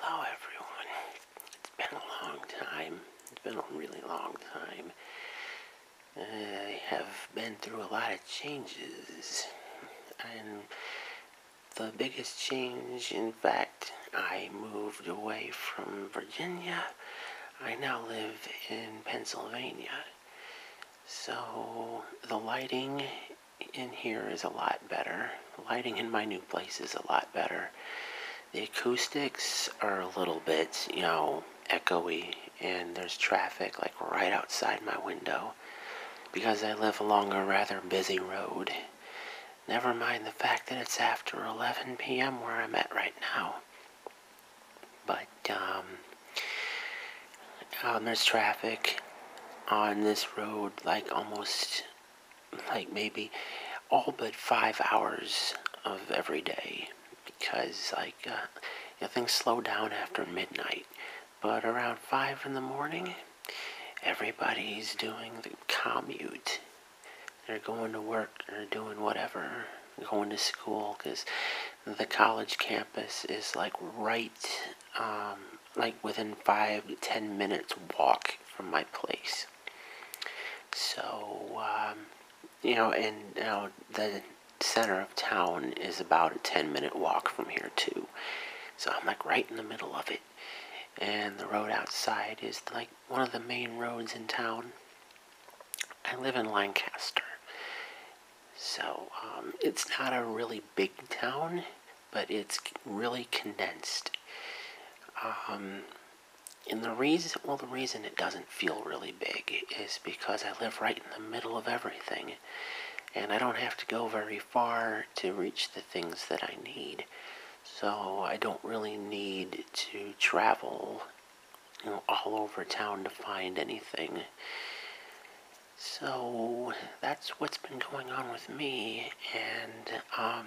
Hello everyone. It's been a long time. It's been a really long time. I have been through a lot of changes. And the biggest change, in fact, I moved away from Virginia. I now live in Pennsylvania. So the lighting in here is a lot better. Lighting in my new place is a lot better. The acoustics are a little bit, you know, echoey, and there's traffic like right outside my window because I live along a rather busy road. Never mind the fact that it's after 11 p.m. where I'm at right now. But, um, uh, there's traffic on this road like almost like maybe all but five hours of every day because like uh, things slow down after midnight but around five in the morning everybody's doing the commute they're going to work They're doing whatever going to school because the college campus is like right um, like within five to ten minutes walk from my place. So, um, you know, and you know, the center of town is about a 10 minute walk from here, too. So I'm like right in the middle of it. And the road outside is like one of the main roads in town. I live in Lancaster. So um, it's not a really big town, but it's really condensed. Um, and the reason, well, the reason it doesn't feel really big is because I live right in the middle of everything. And I don't have to go very far to reach the things that I need. So I don't really need to travel all over town to find anything. So that's what's been going on with me, and um,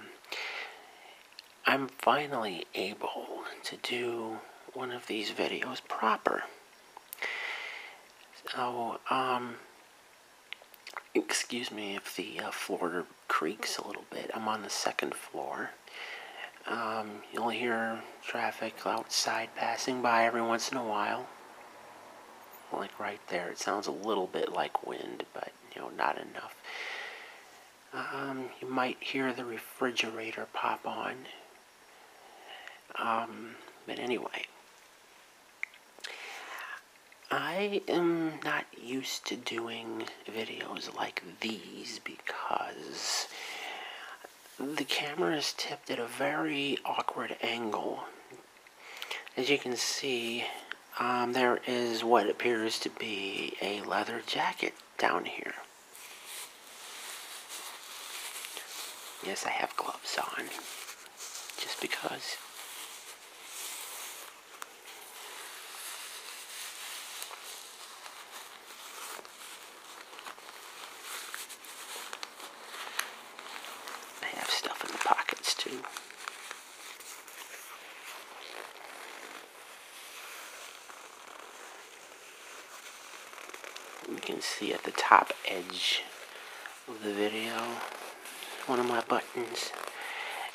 I'm finally able to do one of these videos proper. So, um, excuse me if the uh, floor creaks a little bit. I'm on the second floor. Um, you'll hear traffic outside passing by every once in a while like right there. It sounds a little bit like wind, but you know, not enough. Um, you might hear the refrigerator pop on. Um, but anyway, I am not used to doing videos like these because the camera is tipped at a very awkward angle as you can see, um, there is what appears to be a leather jacket down here. Yes, I have gloves on, just because. I have stuff in the pockets too. You can see at the top edge of the video one of my buttons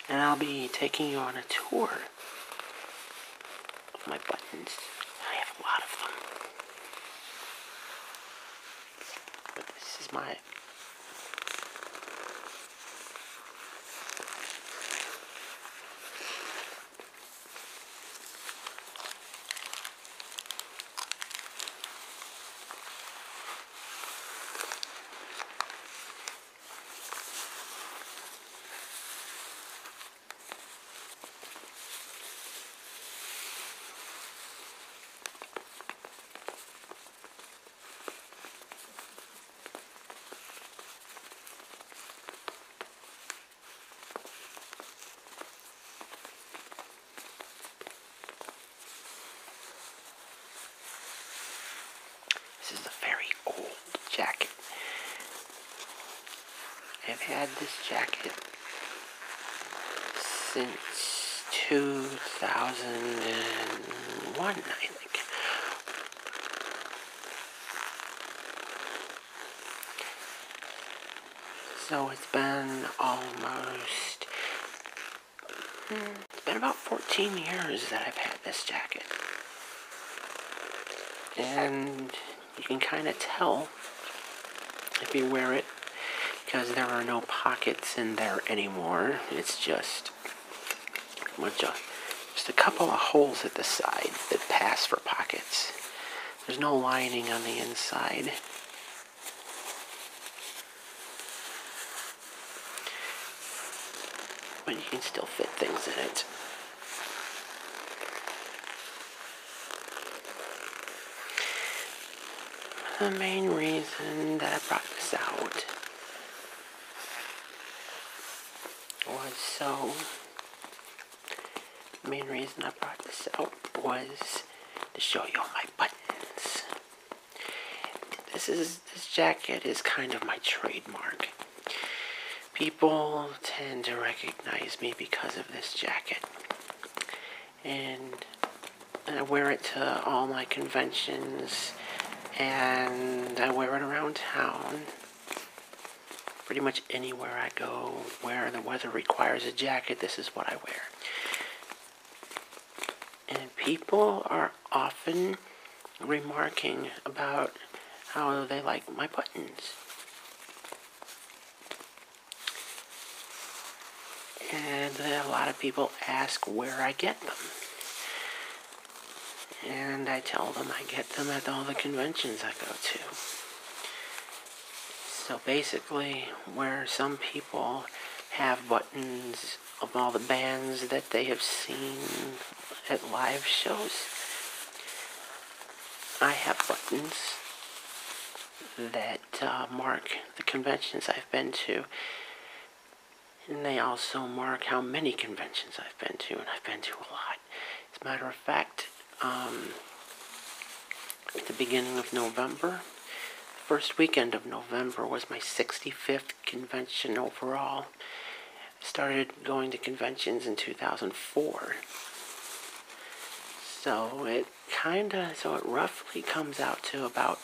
and I'll be taking you on a tour of my buttons. I have a lot of them. But this is my this is a very old jacket. I've had this jacket since 2001, I think. So it's been almost, hmm, it's been about 14 years that I've had this jacket. And you can kind of tell if you wear it because there are no pockets in there anymore. It's just a uh, just a couple of holes at the side that pass for pockets. There's no lining on the inside. But you can still fit things in it. The main reason that I brought this out was so. The main reason I brought this out was to show you all my buttons. This is this jacket is kind of my trademark. People tend to recognize me because of this jacket and I wear it to all my conventions and I wear it around town. Pretty much anywhere I go where the weather requires a jacket, this is what I wear. And people are often remarking about how they like my buttons. And a lot of people ask where I get them. And I tell them I get them at all the conventions I go to. So basically, where some people have buttons of all the bands that they have seen at live shows, I have buttons that uh, mark the conventions I've been to. And they also mark how many conventions I've been to, and I've been to a lot. As a matter of fact, um, at the beginning of November, the first weekend of November was my 65th convention overall. I started going to conventions in 2004. So it kind of, so it roughly comes out to about,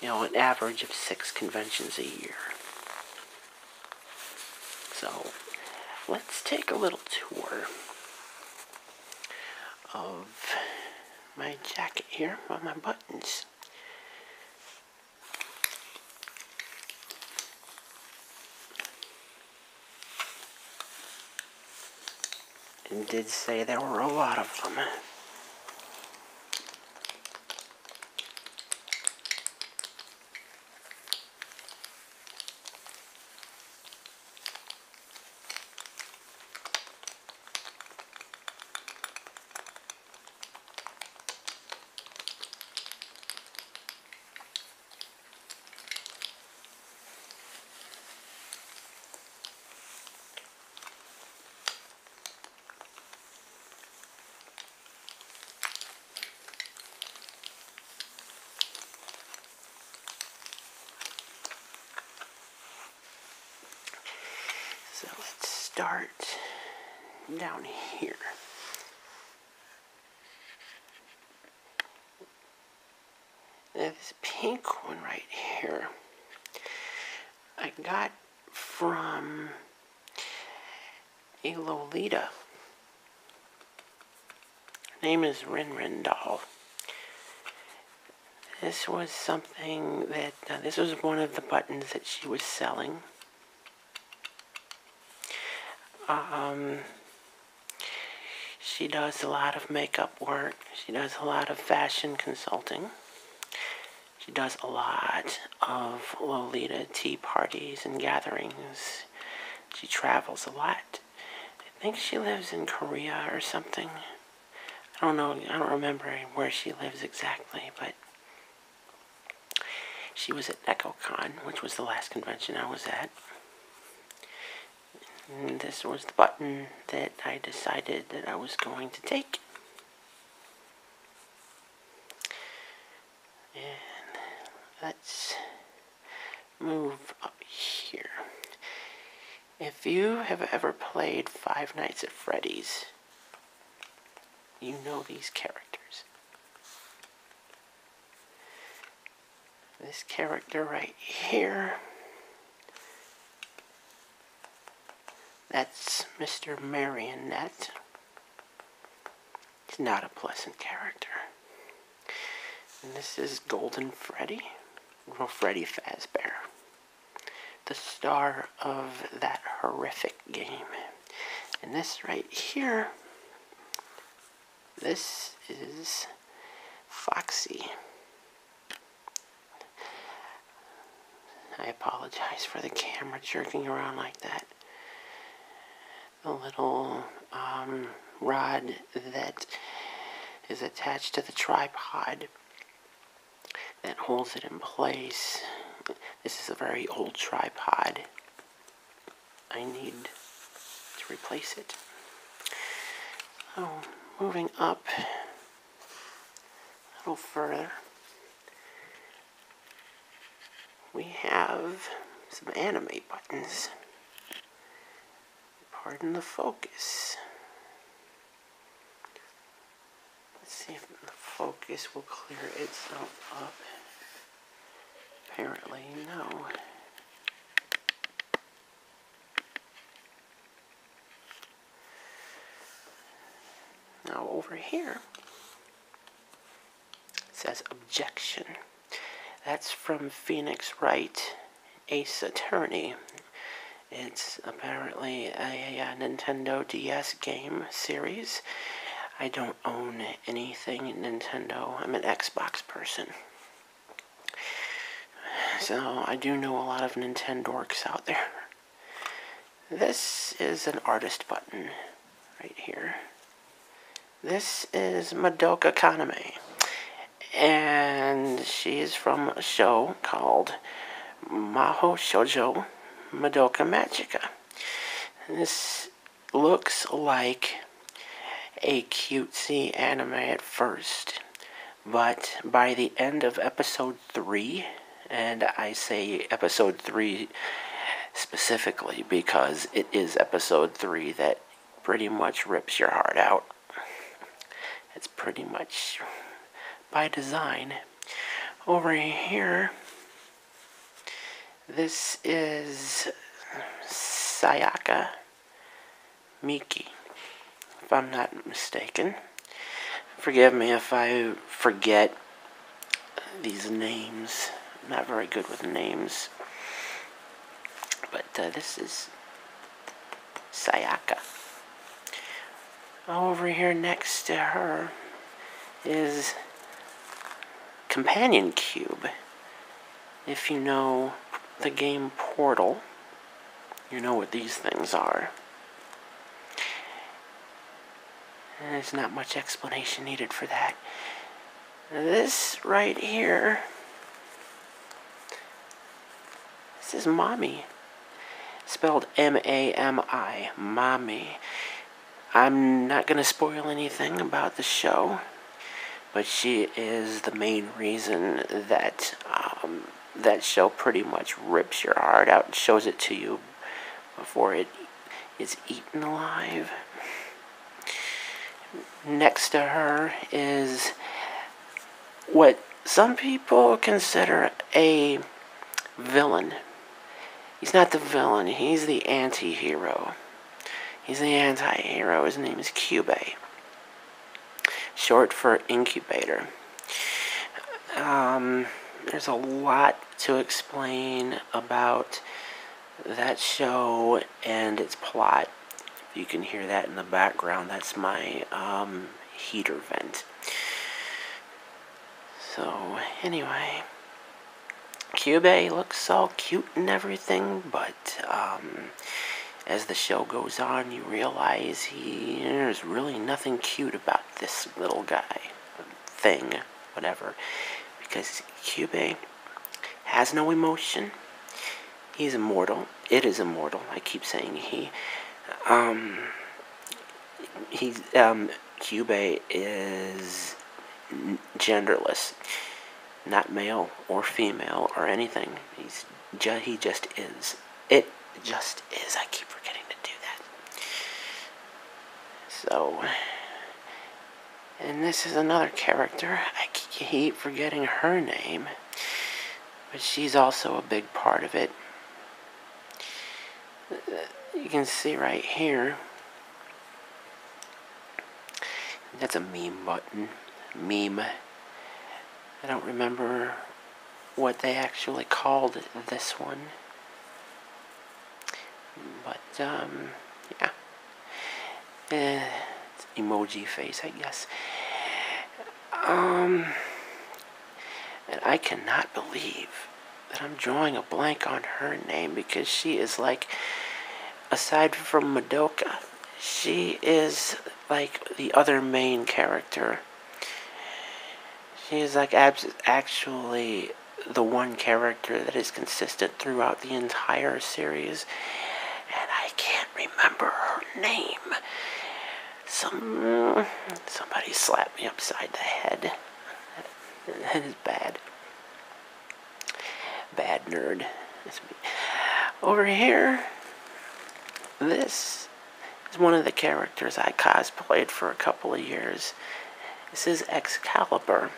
you know, an average of six conventions a year. So, let's take a little tour of my jacket here on my buttons and did say there were a lot of them. So let's start down here this pink one right here, I got from a Lolita. Her name is Rin Rin Doll. This was something that, this was one of the buttons that she was selling. Um, she does a lot of makeup work she does a lot of fashion consulting. She does a lot of Lolita tea parties and gatherings. She travels a lot. I think she lives in Korea or something. I don't know, I don't remember where she lives exactly, but she was at EchoCon, which was the last convention I was at this was the button that I decided that I was going to take. let's move up here. If you have ever played Five Nights at Freddy's, you know these characters. This character right here that's Mr. Marionette. He's not a pleasant character. And this is Golden Freddy, well, Freddy Fazbear, the star of that horrific game. And this right here, this is Foxy. I apologize for the camera jerking around like that. The little um, rod that is attached to the tripod that holds it in place. This is a very old tripod. I need to replace it. Oh, moving up a little further, we have some animate buttons. Pardon the focus. Let's see if the focus will clear itself up. Apparently, no. Now over here, says objection. That's from Phoenix Wright, Ace Attorney. It's apparently a, a Nintendo DS game series. I don't own anything Nintendo. I'm an Xbox person. So I do know a lot of Nintendo dorks out there. This is an artist button right here. This is Madoka Kaname. And she is from a show called Mahou Shoujo Madoka Magica. This looks like a cutesy anime at first. But by the end of episode three, and I say episode three specifically because it is episode three that pretty much rips your heart out. It's pretty much by design. Over here, this is Sayaka. Miki, if I'm not mistaken. Forgive me if I forget these names. I'm not very good with names. But uh, this is Sayaka. Over here next to her is Companion Cube. If you know the game Portal, you know what these things are. There's not much explanation needed for that. This right here. This is mommy. Spelled M A M I. Mommy. I'm not going to spoil anything about the show, but she is the main reason that um, that show pretty much rips your heart out and shows it to you before it is eaten alive. Next to her is what some people consider a villain. He's not the villain, he's the anti hero. He's the anti hero. His name is Cube short for incubator. Um, there's a lot to explain about that show and its plot. You can hear that in the background. That's my um, heater vent. So, anyway, Cube looks all cute and everything, but um, as the show goes on, you realize there's really nothing cute about this little guy, thing, whatever, because Cube has no emotion. He's immortal. It is immortal. I keep saying he. Um, he's um, Cube is genderless, not male or female or anything. He's ju he just is. It just is. I keep forgetting to do that. So, and this is another character. I keep forgetting her name, but she's also a big part of it. You can see right here. That's a meme button. Meme. I don't remember what they actually called this one. But, um, yeah. Eh, emoji face, I guess. Um, and I cannot believe that I'm drawing a blank on her name because she is like, aside from Madoka, she is like the other main character. she is like abs- actually the one character that is consistent throughout the entire series, and I can't remember her name. Some somebody slapped me upside the head. That is bad. Bad nerd. Over here, this is one of the characters I cosplayed for a couple of years. This is Excalibur.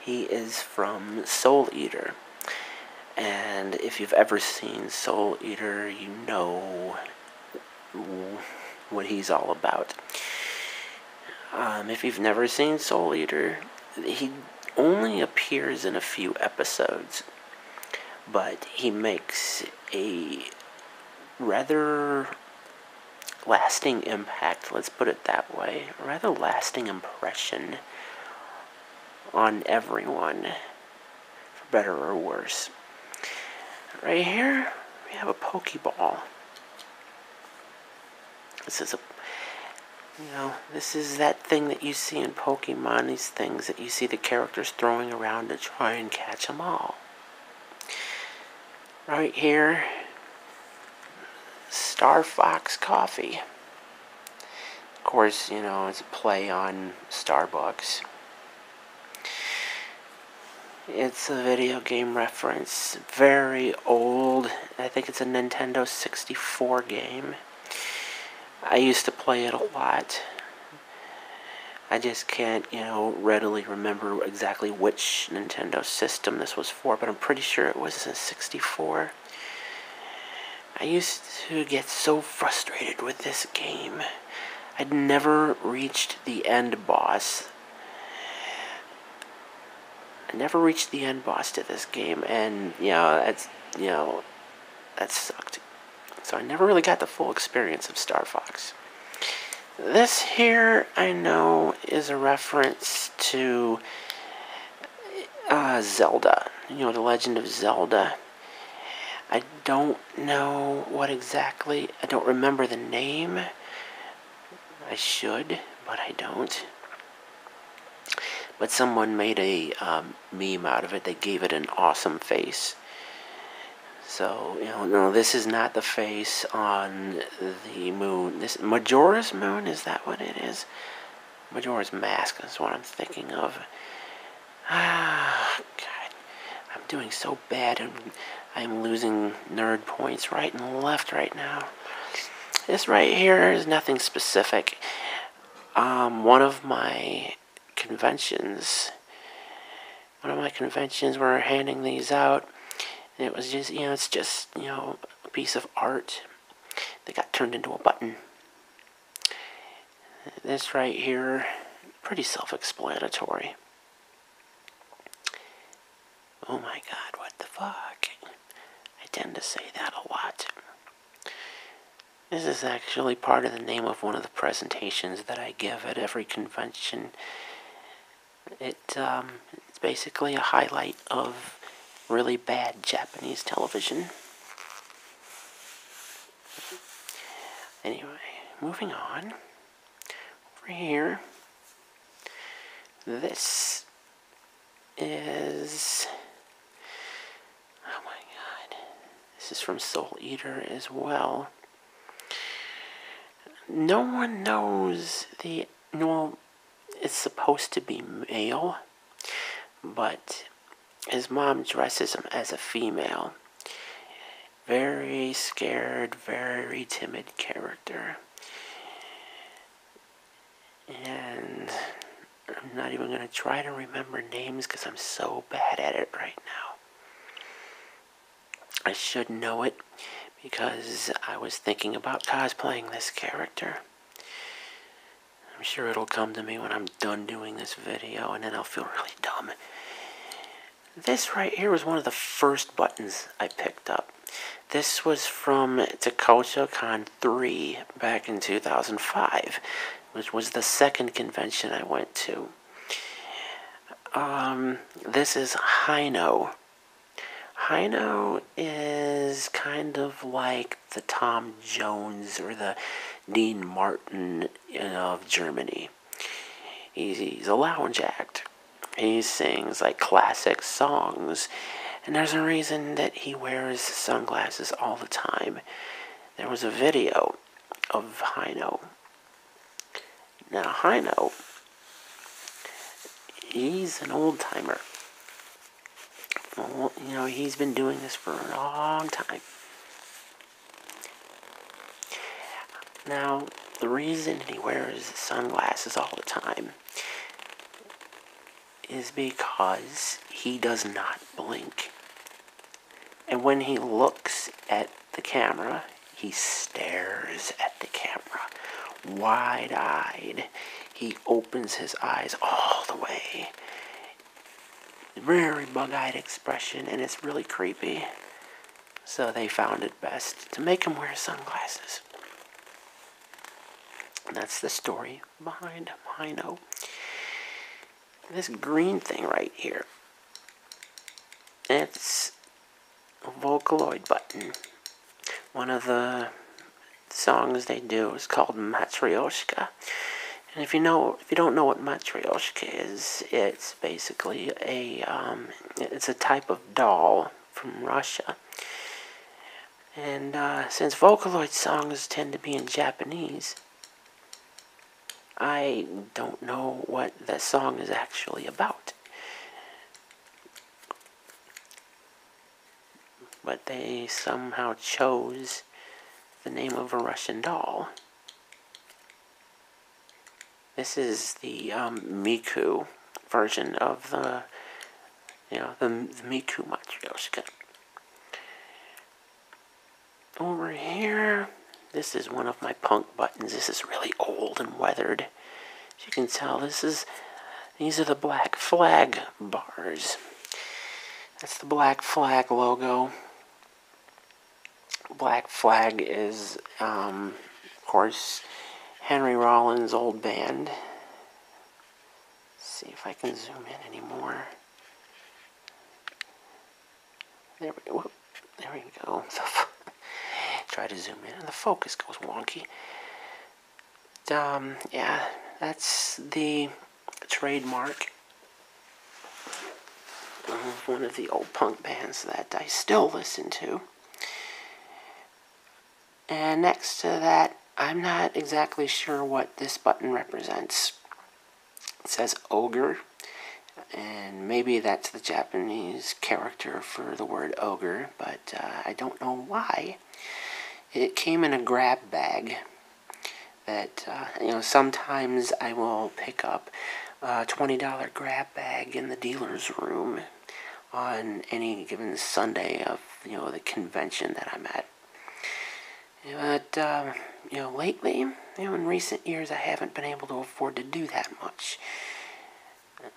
He is from Soul Eater. And if you've ever seen Soul Eater, you know what he's all about. Um, if you've never seen Soul Eater, he only appears in a few episodes but he makes a rather lasting impact, let's put it that way, a rather lasting impression on everyone, for better or worse. Right here, we have a Pokeball. This is a, you know, this is that thing that you see in Pokemon, these things you see the characters throwing around to try and catch them all. Right here, Star Fox Coffee. Of course, you know, it's a play on Starbucks. It's a video game reference, very old. I think it's a Nintendo 64 game. I used to play it a lot. I just can't, you know, readily remember exactly which Nintendo system this was for, but I'm pretty sure it was a 64. I used to get so frustrated with this game. I'd never reached the end boss. I never reached the end boss to this game, and, you know, that's, you know, that sucked. So I never really got the full experience of Star Fox. This here, I know, is a reference to uh, Zelda. You know, The Legend of Zelda. I don't know what exactly. I don't remember the name. I should, but I don't. But someone made a um, meme out of it. They gave it an awesome face. So, you know, this is not the face on the moon. This Majora's Moon, is that what it is? Majora's Mask is what I'm thinking of. Ah, God. I'm doing so bad. I'm, I'm losing nerd points right and left right now. This right here is nothing specific. Um, one of my conventions. One of my conventions were handing these out, it was just, you know, it's just, you know, a piece of art that got turned into a button. This right here, pretty self explanatory. Oh my god, what the fuck? I tend to say that a lot. This is actually part of the name of one of the presentations that I give at every convention. Um, it's basically a highlight of really bad Japanese television. Anyway, moving on. Over here, this is Oh my god. This is from Soul Eater as well. No one knows the. Well, it's supposed to be male, but his mom dresses him as a female. Very scared, very timid character. And I'm not even going to try to remember names because I'm so bad at it right now. I should know it because I was thinking about cosplaying this character. I'm sure it'll come to me when I'm done doing this video and then I'll feel really dumb. This right here was one of the first buttons I picked up. This was from Takocha Con 3 back in 2005 which was the second convention I went to. Um, this is Hino. Hino is kind of like the Tom Jones or the Dean Martin of Germany. he's a lounge act. He sings like classic songs, and there's a reason that he wears sunglasses all the time there was a video of Hino. Now, Hino, he's an old timer. you know, he's been doing this for a long time. Now, the reason he wears sunglasses all the time is because he does not blink. And when he looks at the camera, he stares at the camera, wide eyed. He opens his eyes all the way. Very bug eyed expression, and it's really creepy. So they found it best to make him wear sunglasses. that's the story behind Mino this green thing right here. It's a Vocaloid button. One of the songs they do is called Matryoshka. And if you know, if you don't know what Matryoshka is, it's basically a um, it's a type of doll from Russia. And uh, since Vocaloid songs tend to be in Japanese, I don't know what the song is actually about. But they somehow chose the name of a Russian doll. This is the um, Miku version of the, you know, the, the Miku Matryoshka over here, this is one of my punk buttons. This is really old and weathered. As you can tell, this is, these are the black flag bars. That's the black flag logo. Black flag is, um, of course, Henry Rollins' old band. see if I can zoom in anymore. There we, whoop, there we go. Try to zoom in, and the focus goes wonky. Um, yeah, that's the trademark of one of the old punk bands that I still listen to. And next to that, I'm not exactly sure what this button represents. It says ogre, and maybe that's the Japanese character for the word ogre, but uh, I don't know why. It came in a grab bag that, uh, you know, sometimes I will pick up a $20 grab bag in the dealer's room on any given Sunday of, you know, the convention that I'm at. But, um, you know, lately, you know, in recent years, I haven't been able to afford to do that much.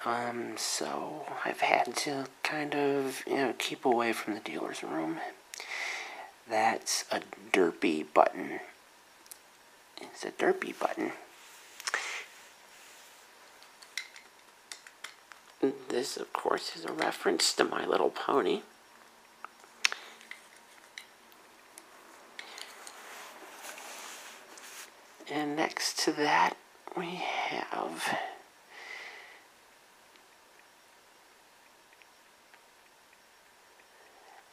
Um, so I've had to kind of, you know, keep away from the dealer's room. That's a derpy button. It's a derpy button. This, of course, is a reference to My Little Pony. And next to that, we have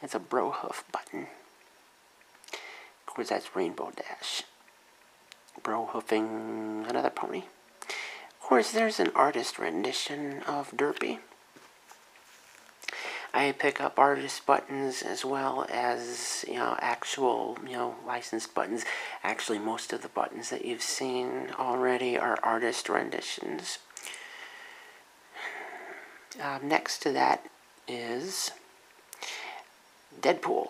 it's a Brohoof button. Of course, that's Rainbow Dash. Brohoofing another pony. Of course, there's an artist rendition of Derpy. I pick up artist buttons as well as, actual, you know, licensed buttons. Actually, most of the buttons that you've seen already are artist renditions. Um, next to that is Deadpool.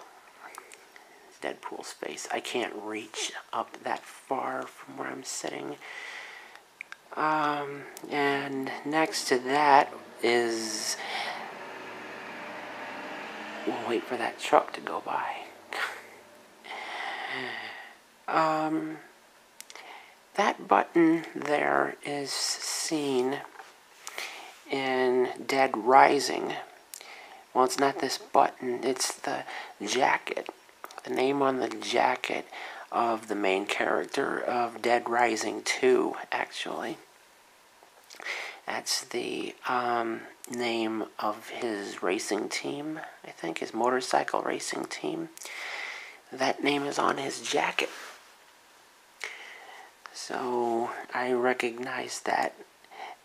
Deadpool's face. I can't reach up that far from where I'm sitting. Um, and next to that is. We'll wait for that truck to go by. um, that button there is seen in Dead Rising. Well, it's not this button, it's the jacket the name on the jacket of the main character of Dead Rising 2, actually. That's the um, name of his racing team, I think, his motorcycle racing team. That name is on his jacket. So I recognized that.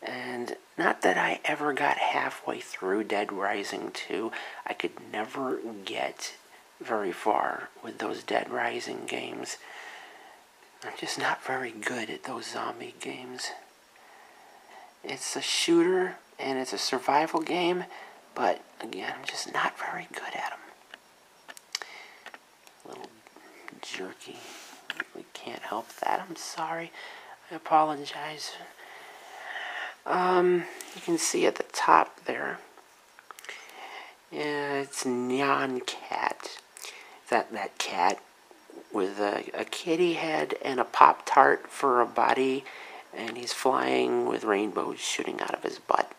And not that I ever got halfway through Dead Rising 2. I could never get very far with those Dead Rising games. I'm just not very good at those zombie games. It's a shooter and it's a survival game, but again, I'm just not very good at them. A little jerky. We can't help that. I'm sorry. I apologize. Um, you can see at the top there, it's neon Cat. That, that cat with a, a kitty head and a Pop Tart for a body, and he's flying with rainbows shooting out of his butt.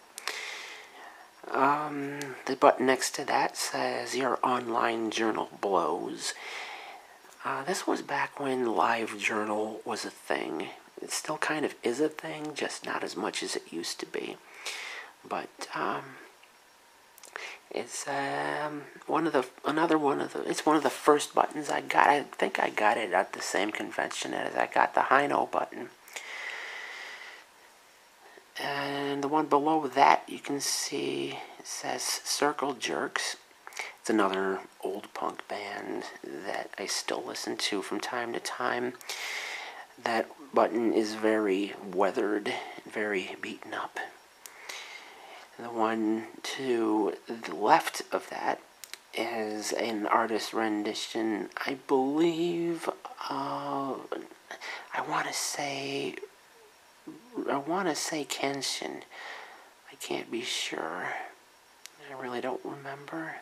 Um, the button next to that says Your Online Journal Blows. Uh, this was back when LiveJournal was a thing it still kind of is a thing, just not as much as it used to be. But um, it's um, one of the another one of the it's one of the first buttons I got. I think I got it at the same convention as I got the Hino button. And the one below that you can see it says circle jerks it's another old punk band that I still listen to from time to time. That button is very weathered, very beaten up. the one to the left of that is an artist rendition, I believe, I want to say, I want to say Kenshin. I can't be sure. I really don't remember.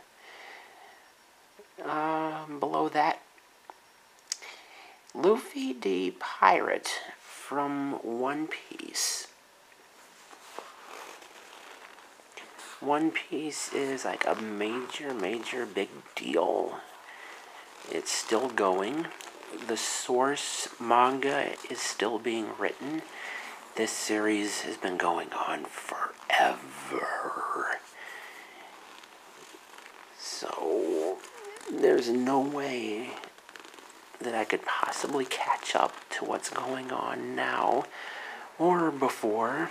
Um, below that, Luffy the Pirate from One Piece. One Piece is like a major, major big deal. It's still going. The source manga is still being written. This series has been going on forever. So, there's no way that I could possibly catch up to what's going on now or before.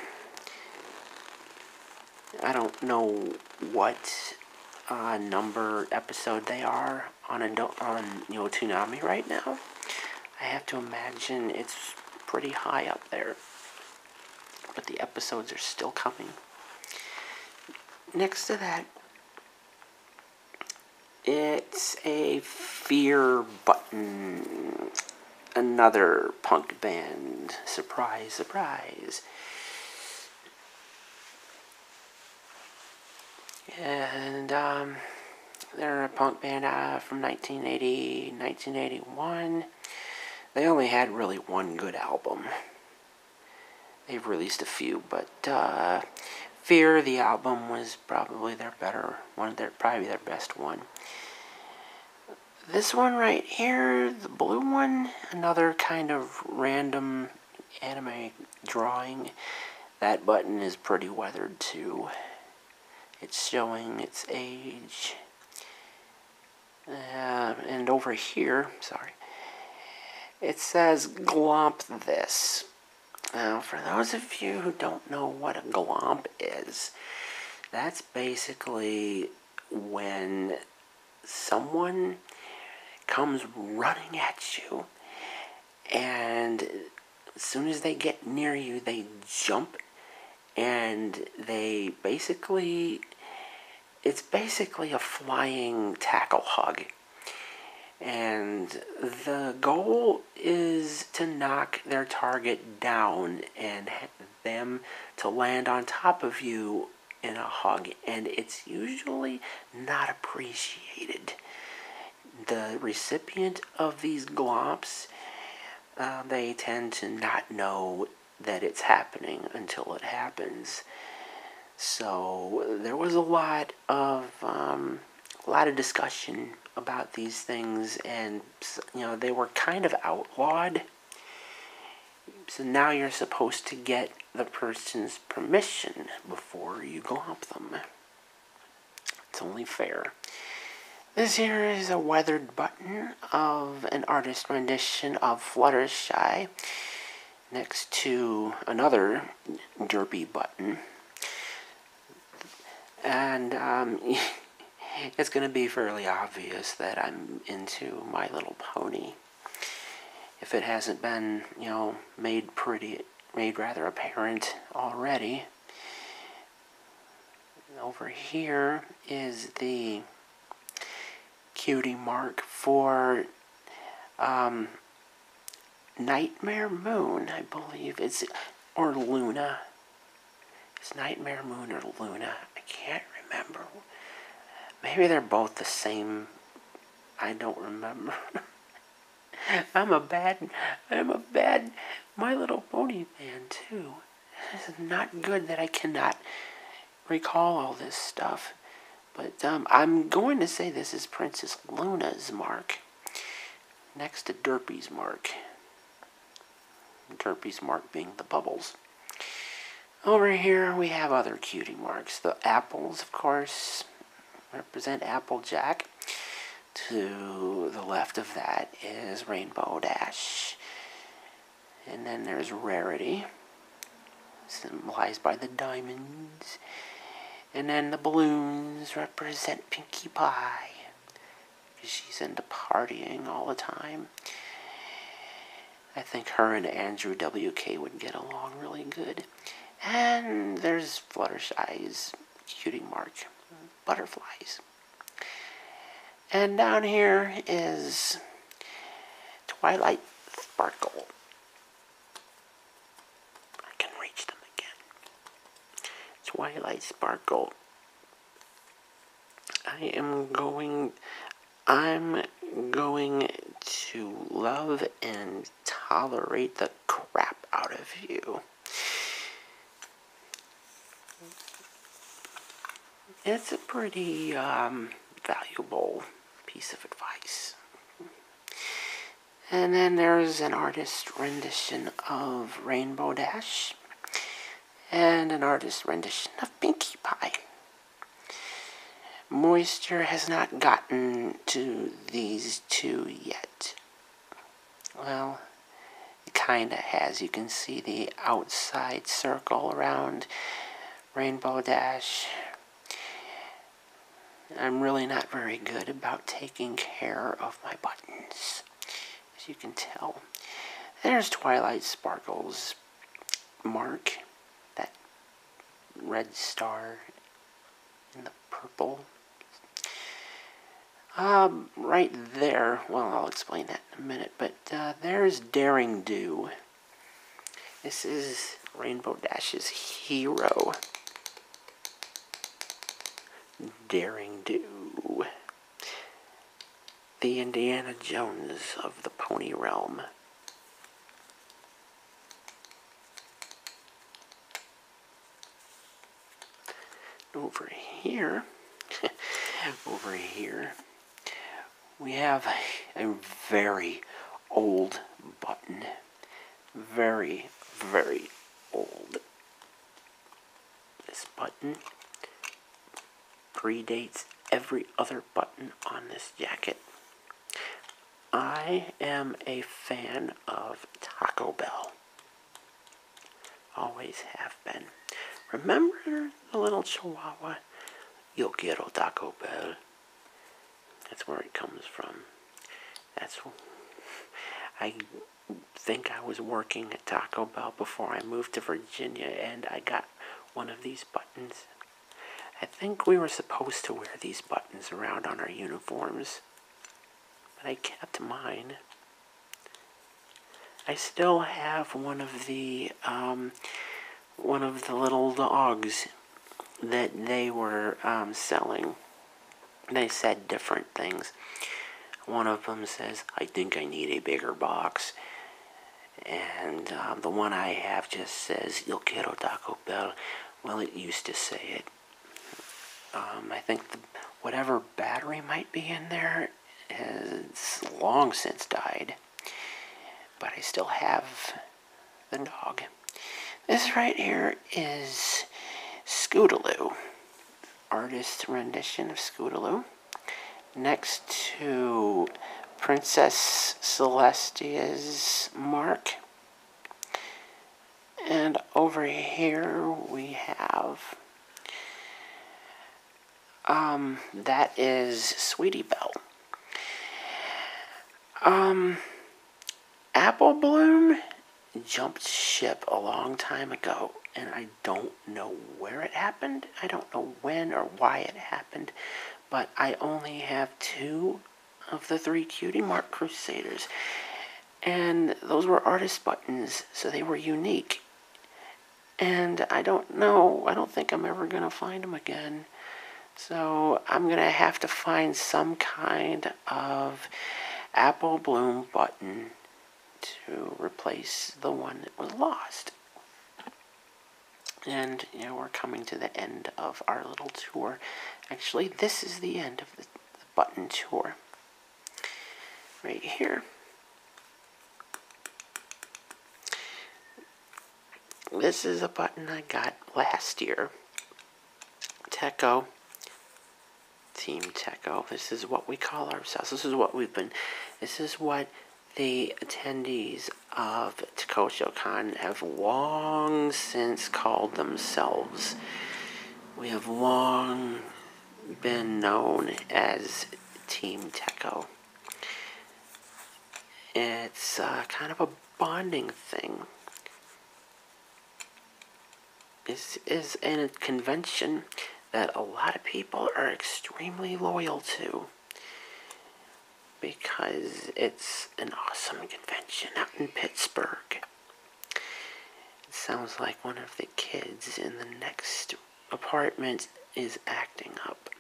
I don't know what uh, number episode they are on Indo- on you Toonami right now. I have to imagine it's pretty high up there. But the episodes are still coming. Next to that, it's a Fear Button. Another punk band. Surprise, surprise. And, um, they're a punk band uh, from 1980, 1981. They only had really one good album. They've released a few, but uh, Fear, the album, was probably their better one. Their probably their best one. This one right here, the blue one, another kind of random anime drawing. That button is pretty weathered too. It's showing its age. Uh, and over here, sorry, it says glomp this. Now, for those of you who don't know what a glomp is, that's basically when someone comes running at you and as soon as they get near you, they jump and they basically it's basically a flying tackle hug. And the goal is to knock their target down and them to land on top of you in a hug. And it's usually not appreciated the recipient of these glops, uh, they tend to not know that it's happening until it happens. So there was a lot of um, a lot of discussion about these things, and you know they were kind of outlawed. So now you're supposed to get the person's permission before you glomp them. It's only fair. This here is a weathered button of an artist rendition of Fluttershy next to another derpy button. And um, it's going to be fairly obvious that I'm into My Little Pony. If it hasn't been, you know, made pretty, made rather apparent already over here is the cutie mark for um, Nightmare Moon, I believe. It's or Luna. It's Nightmare Moon or Luna. I can't remember. Maybe they're both the same. I don't remember. I'm a bad, I'm a bad My Little Pony fan too. This is not good that I cannot recall all this stuff. But um, I'm going to say this is Princess Luna's mark. Next to Derpy's mark. Derpy's mark being the bubbles. Over here we have other cutie marks. The apples, of course, represent Applejack. To the left of that is Rainbow Dash. And then there's Rarity, symbolized by the diamonds. And then the balloons represent Pinkie Pie. She's into partying all the time. I think her and Andrew W.K. would get along really good. And there's Fluttershy's cutie mark butterflies. And down here is Twilight Sparkle. I can reach them again. Twilight Sparkle. I am going, I'm going to love and tolerate the crap out of you. It's a pretty um, valuable piece of advice. And then there's an artist rendition of Rainbow Dash and an artist rendition of Pinkie Pie. Moisture has not gotten to these two yet. Well, it kind of has. You can see the outside circle around Rainbow Dash. I'm really not very good about taking care of my buttons, as you can tell. There's Twilight Sparkle's mark, that red star in the purple. Um, right there, well, I'll explain that in a minute, but uh, there's Daring Do. This is Rainbow Dash's hero. Daring Do. The Indiana Jones of the Pony Realm. Over here, over here, we have a very old button. Very, very old. This button predates every other button on this jacket. I am a fan of Taco Bell. Always have been. Remember the little chihuahua? Yo quiero Taco Bell. That's where it comes from. That's. I think I was working at Taco Bell before I moved to Virginia and I got one of these buttons. I think we were supposed to wear these buttons around on our uniforms, but I kept mine. I still have one of the um, one of the little dogs that they were um, selling. They said different things. One of them says, "I think I need a bigger box," and um, the one I have just says, "Yo quiero Taco Bell." Well, it used to say it, um, I think whatever battery might be in there has long since died, but I still have the dog. This right here is Scootaloo, artist's rendition of Scootaloo, next to Princess Celestia's mark. And over here we have, um, that is Sweetie Belle. Um, Apple Bloom jumped ship a long time ago, and I don't know where it happened. I don't know when or why it happened, but I only have two of the three Cutie Mark Crusaders and those were artist buttons, so they were unique. And I don't know, I don't think I'm ever going to find them again. So I'm going to have to find some kind of apple bloom button to replace the one that was lost. And, you know, we're coming to the end of our little tour. Actually, this is the end of the, the button tour right here. This is a button I got last year. Techo, Team Techo. This is what we call ourselves. This is what we've been, this is what the attendees of TokoshoCon have long since called themselves. We have long been known as Team Techo. It's uh, kind of a bonding thing. Is is a convention that a lot of people are extremely loyal to because it's an awesome convention out in Pittsburgh. It sounds like one of the kids in the next apartment is acting up.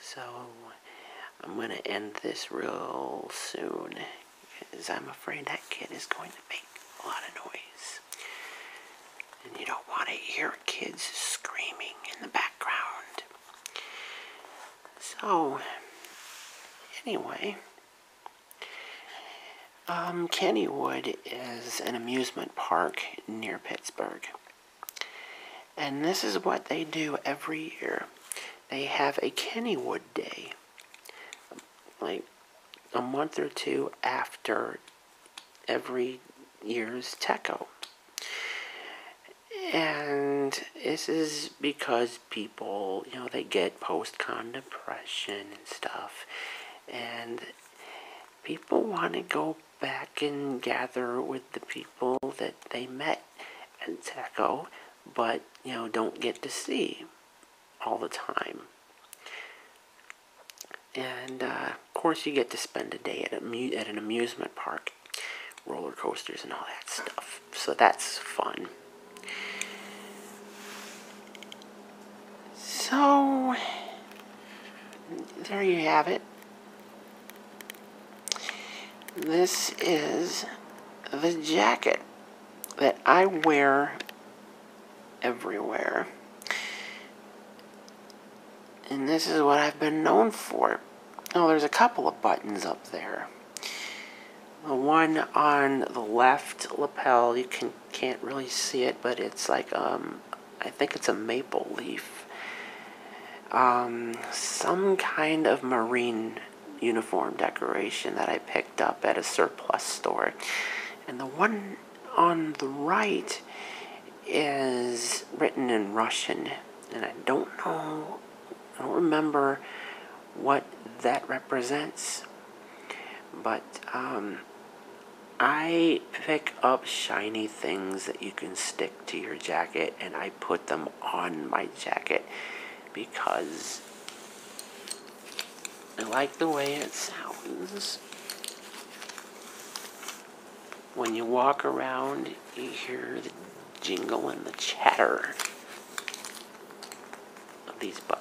So I'm going to end this real soon because I'm afraid that kid is going to make a lot of noise. And you don't want to hear kids screaming in the background. So, anyway, um, Kennywood is an amusement park near Pittsburgh. And this is what they do every year. They have a Kennywood Day, like a month or two after every year's Techo. And this is because people, you know, they get post-con depression and stuff and people want to go back and gather with the people that they met at TECO, but you know don't get to see all the time. And uh, of course, you get to spend a day at, amu- at an amusement park, roller coasters, and all that stuff. So that's fun. So, there you have it. This is the jacket that I wear everywhere. And this is what I've been known for. Oh, there's a couple of buttons up there. The one on the left lapel, you can can't really see it, but it's like, um, I think it's a maple leaf. Um, some kind of marine uniform decoration that I picked up at a surplus store. And the one on the right is written in Russian. And I don't know, I don't remember what that represents. But um, I pick up shiny things that you can stick to your jacket and I put them on my jacket because I like the way it sounds. When you walk around, you hear the jingle and the chatter of these buttons.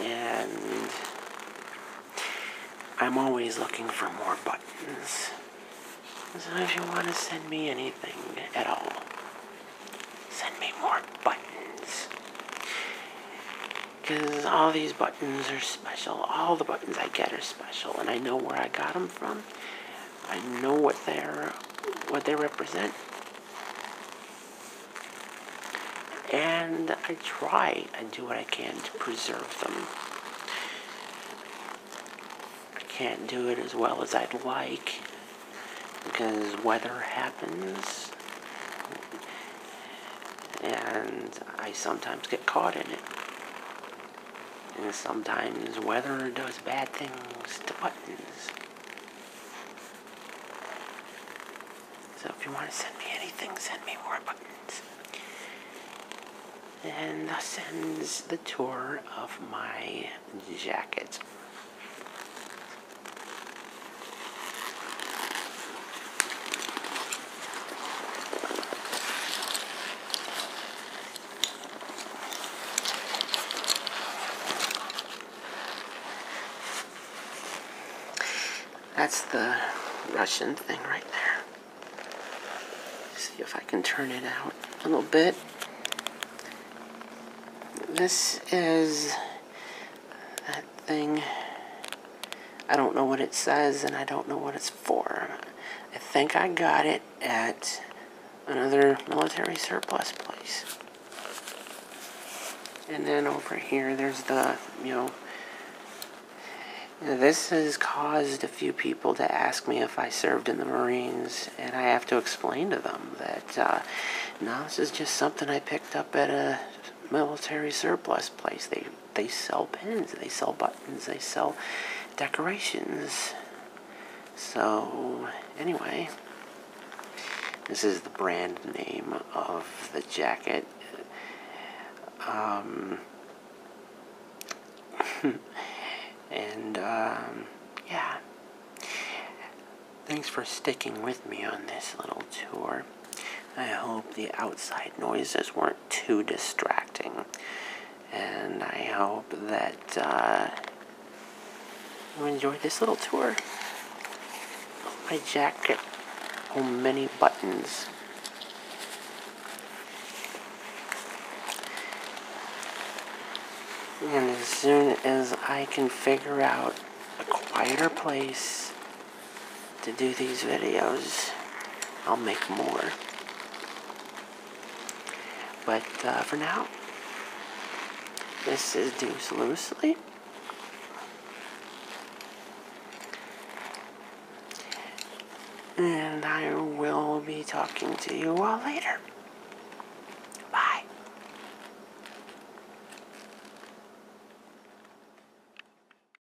And I'm always looking for more buttons. So if you want to send me anything at all, send me more buttons because all these buttons are special. All the buttons I get are special, and I know where I got them from. I know what they're, what they represent. And I try and do what I can to preserve them. I can't do it as well as I'd like because weather happens and I sometimes get caught in it. And sometimes weather does bad things to buttons. So if you want to send me anything, send me more buttons. And thus ends the tour of my jacket. That's the Russian thing right there. See if I can turn it out a little bit. This is that thing I don't know what it says and I don't know what it's for. I think I got it at another military surplus place. And then over here, there's the, you know, this has caused a few people to ask me if I served in the Marines, and I have to explain to them that uh, no, this is just something I picked up at a, military surplus place. They they sell pins, they sell buttons, they sell decorations. So anyway, this is the brand name of the jacket. Um, and um, yeah, thanks for sticking with me on this little tour. I hope the outside noises weren't too distracting. And I hope that uh, you enjoyed this little tour. My jacket, oh many buttons. And as soon as I can figure out a quieter place to do these videos. I'll make more. But uh, for now, this is Deuce Loosely. And I will be talking to you all later. Bye.